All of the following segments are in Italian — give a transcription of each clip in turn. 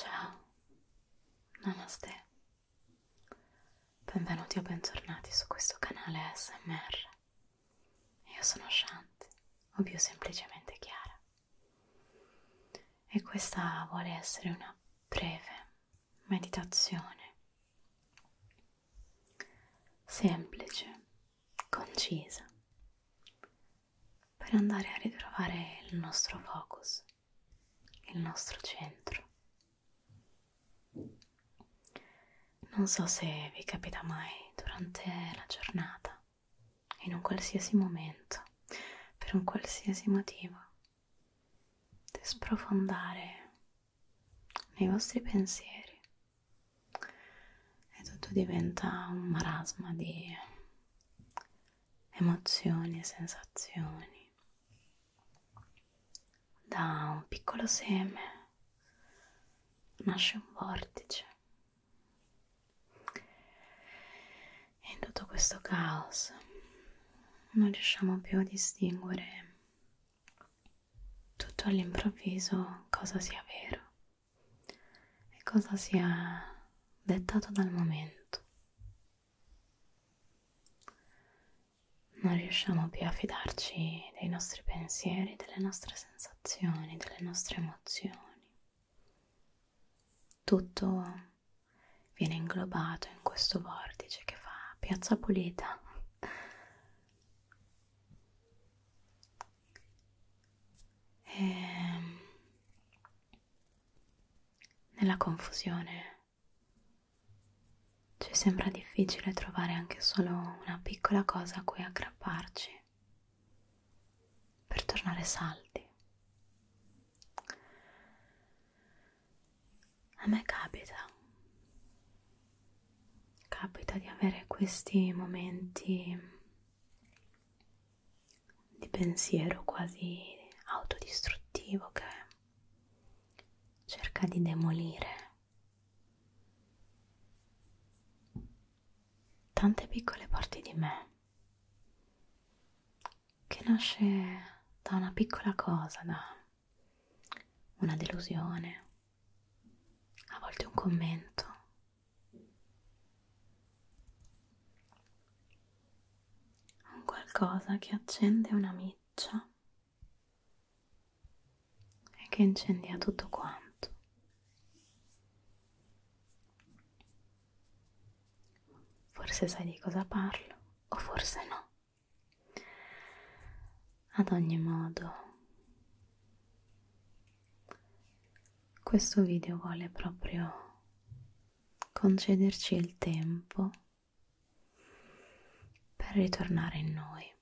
Ciao, namaste, benvenuti o bentornati su questo canale ASMR. Io sono Shanti, o più semplicemente Chiara, e questa vuole essere una breve meditazione semplice, concisa, per andare a ritrovare il nostro focus, il nostro centro. Non so se vi capita mai durante la giornata, in un qualsiasi momento, per un qualsiasi motivo, di sprofondare nei vostri pensieri e tutto diventa un marasma di emozioni e sensazioni da un piccolo seme nasce un vortice e in tutto questo caos non riusciamo più a distinguere tutto all'improvviso cosa sia vero e cosa sia dettato dal momento. Non riusciamo più a fidarci dei nostri pensieri, delle nostre sensazioni, delle nostre emozioni. Tutto viene inglobato in questo vortice che fa piazza pulita e ehm, nella confusione ci sembra difficile trovare anche solo una piccola cosa a cui aggrapparci per tornare saldi a me capita, capita di avere questi momenti di pensiero quasi autodistruttivo che cerca di demolire tante piccole parti di me che nasce da una piccola cosa, da una delusione, a volte un commento. Un qualcosa che accende una miccia e che incendia tutto quanto. Forse sai di cosa parlo o forse no. Ad ogni modo, questo video vuole proprio concederci il tempo per ritornare in noi,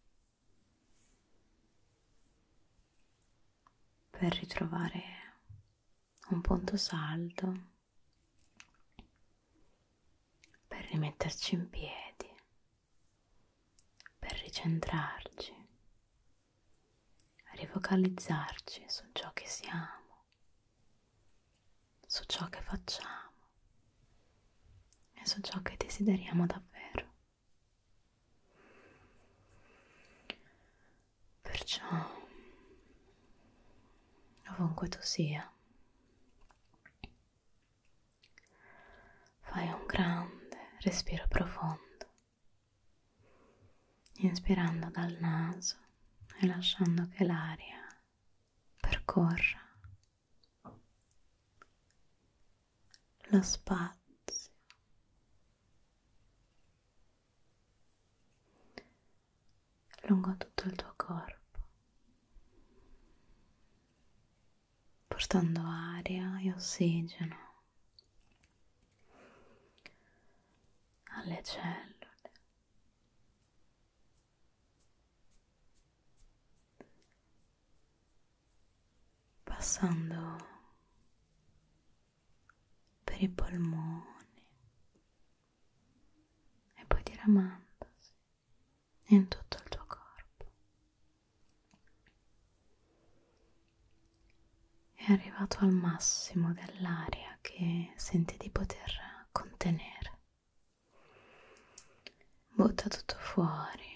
per ritrovare un punto saldo per rimetterci in piedi, per ricentrarci, rifocalizzarci su ciò che siamo, su ciò che facciamo e su ciò che desideriamo davvero. Perciò, ovunque tu sia, fai un grande respiro profondo, inspirando dal naso e lasciando che l'aria percorra lo spazio lungo tutto il tuo corpo, portando aria e ossigeno alle cellule. passando per i polmoni e poi diramandosi in tutto il tuo corpo. È arrivato al massimo dell'aria che senti di poter contenere. Butta tutto fuori.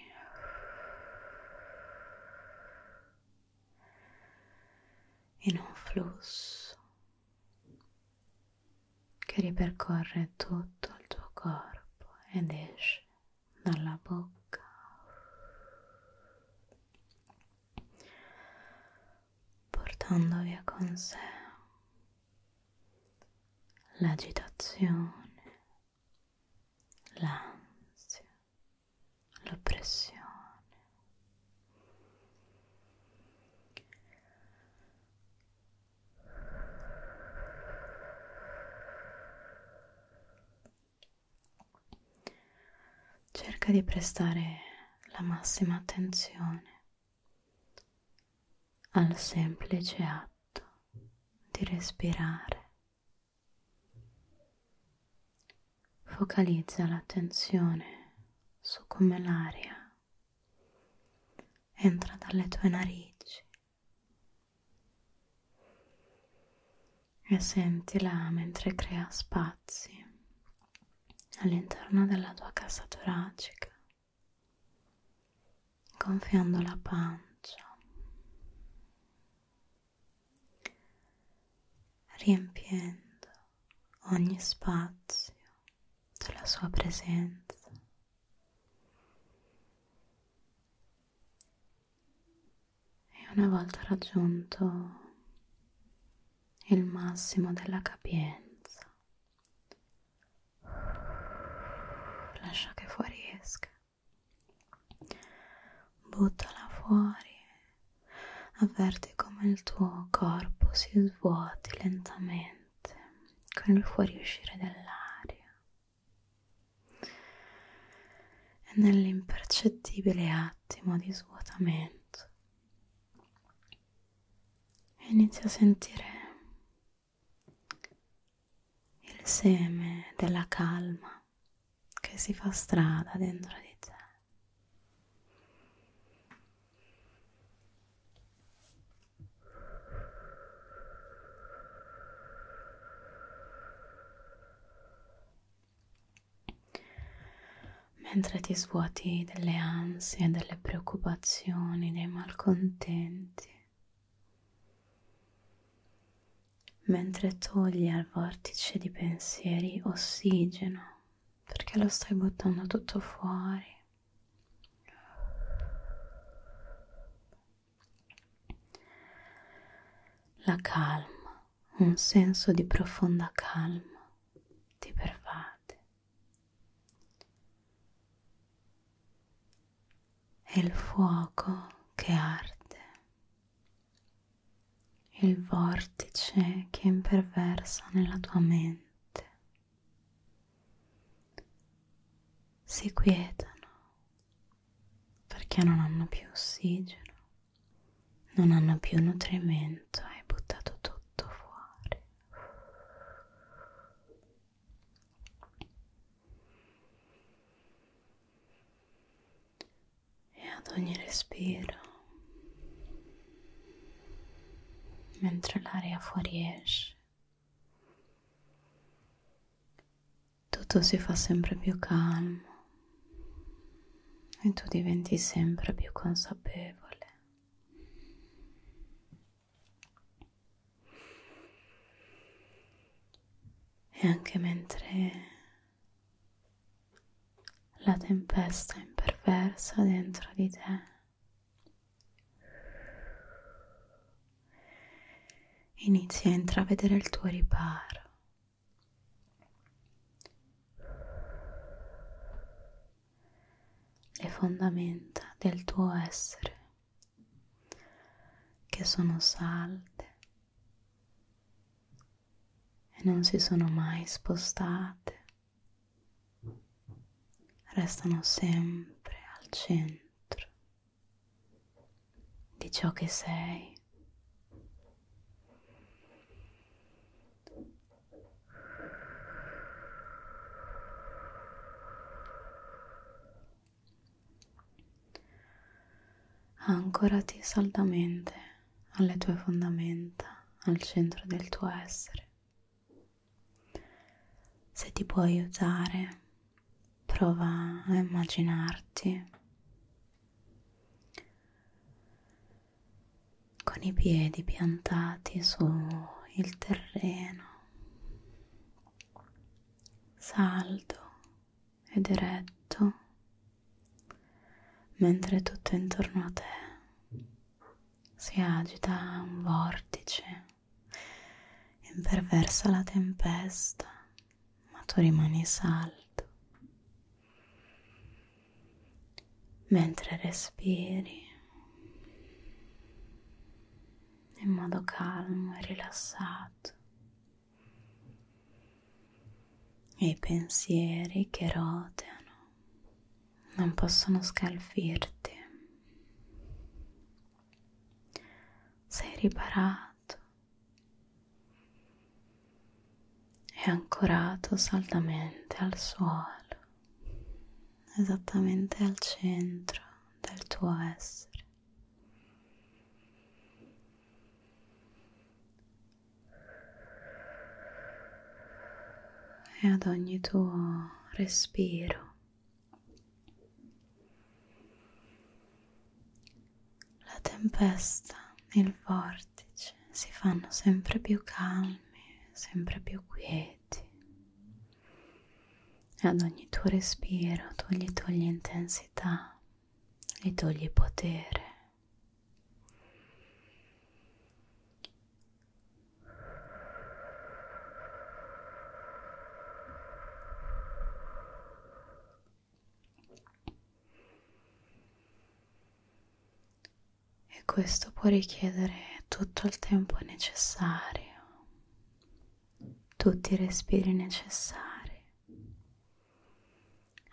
In un flusso che ripercorre tutto il tuo corpo ed esce dalla bocca. Portando via con sé l'agitazione, l'ansia, l'oppressione, Cerca di prestare la massima attenzione al semplice atto di respirare focalizza l'attenzione su come l'aria entra dalle tue narici e sentila mentre crea spazi all'interno della tua casa toracica, gonfiando la pancia, riempiendo ogni spazio della sua presenza. E una volta raggiunto il massimo della capienza, lascia che fuoriesca, buttala fuori avverti come il tuo corpo si svuoti lentamente con il fuoriuscire dell'aria e nell'impercettibile attimo di svuotamento inizi a sentire il seme della calma che si fa strada dentro di te mentre ti svuoti delle ansie, delle preoccupazioni, dei malcontenti, mentre togli al vortice di pensieri ossigeno perché lo stai buttando tutto fuori. La calma, un senso di profonda calma ti pervade. E il fuoco che arde il vortice che imperversa nella tua mente. Si quietano perché non hanno più ossigeno, non hanno più nutrimento, hai buttato tutto fuori e ad ogni respiro, mentre l'aria fuoriesce, tutto si fa sempre più calmo e tu diventi sempre più consapevole. E anche mentre la tempesta imperversa dentro di te. Inizi a intravedere il tuo riparo. Le fondamenta del tuo essere che sono salde e non si sono mai spostate, restano sempre al centro di ciò che sei. Ancorati saldamente alle tue fondamenta, al centro del tuo essere. Se ti può aiutare, prova a immaginarti con i piedi piantati sul terreno, saldo ed eretto mentre tutto intorno a te si agita un vortice, imperversa la tempesta, ma tu rimani saldo. Mentre respiri in modo calmo e rilassato e i pensieri che roteano non possono scalfirti. Sei riparato e ancorato saldamente al suolo, esattamente al centro del tuo essere e ad ogni tuo respiro. La tempesta, il vortice si fanno sempre più calmi, sempre più quieti. E ad ogni tuo respiro tu gli togli intensità, gli togli potere, e questo può richiedere tutto il tempo necessario, tutti i respiri necessari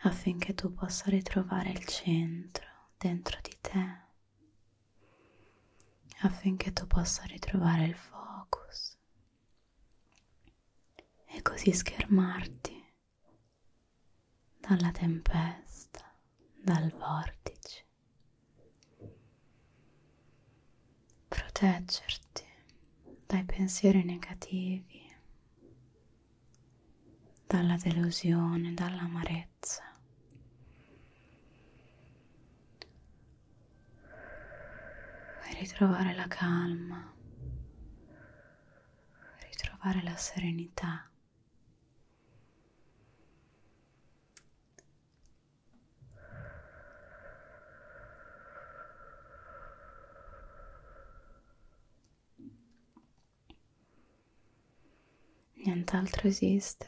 affinché tu possa ritrovare il centro dentro di te, affinché tu possa ritrovare il focus e così schermarti dalla tempesta, dal vortice, proteggerti dai pensieri negativi dalla delusione, dall'amarezza. E ritrovare la calma, ritrovare la serenità. Nient'altro esiste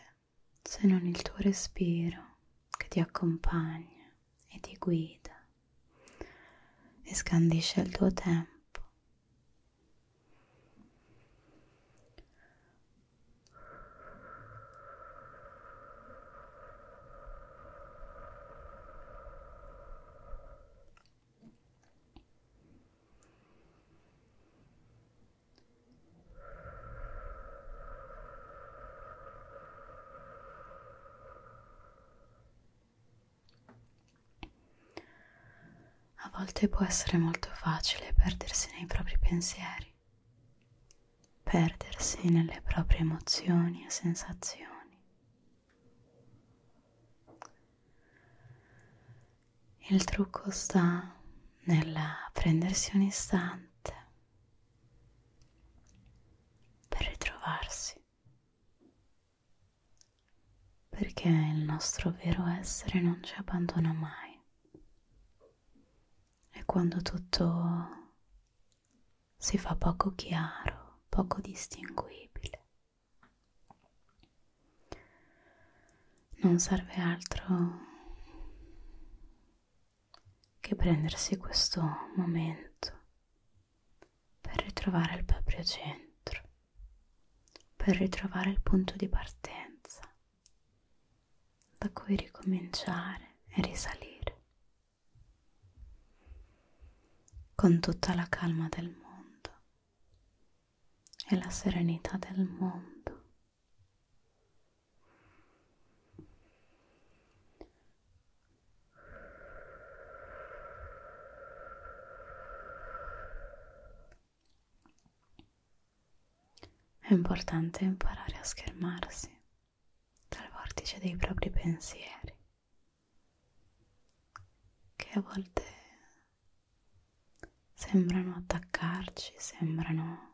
se non il tuo respiro che ti accompagna e ti guida e scandisce il tuo tempo. A volte può essere molto facile perdersi nei propri pensieri, perdersi nelle proprie emozioni e sensazioni il trucco sta nel prendersi un istante per ritrovarsi, perché il nostro vero essere non ci abbandona mai e quando tutto si fa poco chiaro, poco distinguibile, non serve altro che prendersi questo momento per ritrovare il proprio centro, per ritrovare il punto di partenza da cui ricominciare e risalire con tutta la calma del mondo e la serenità del mondo. È importante imparare a schermarsi dal vortice dei propri pensieri che a volte sembrano attaccarci, sembrano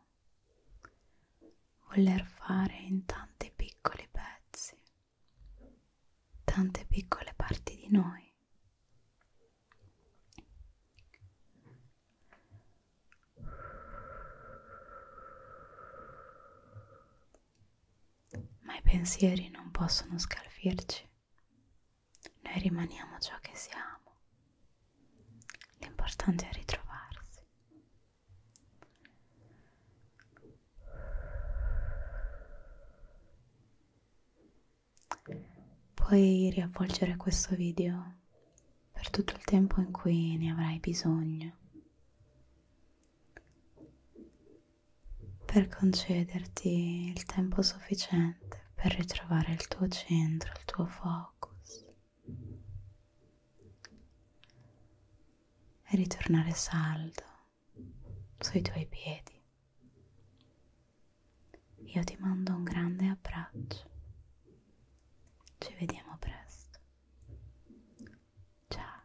voler fare in tanti piccoli pezzi, tante piccole parti di noi ma i pensieri non possono scalfirci. Noi rimaniamo ciò che siamo. L'importante è ritrovarsi. Puoi riavvolgere questo video per tutto il tempo in cui ne avrai bisogno per concederti il tempo sufficiente per ritrovare il tuo centro, il tuo focus e ritornare saldo sui tuoi piedi. Io ti mando un grande abbraccio. Ci vediamo presto. Ciao.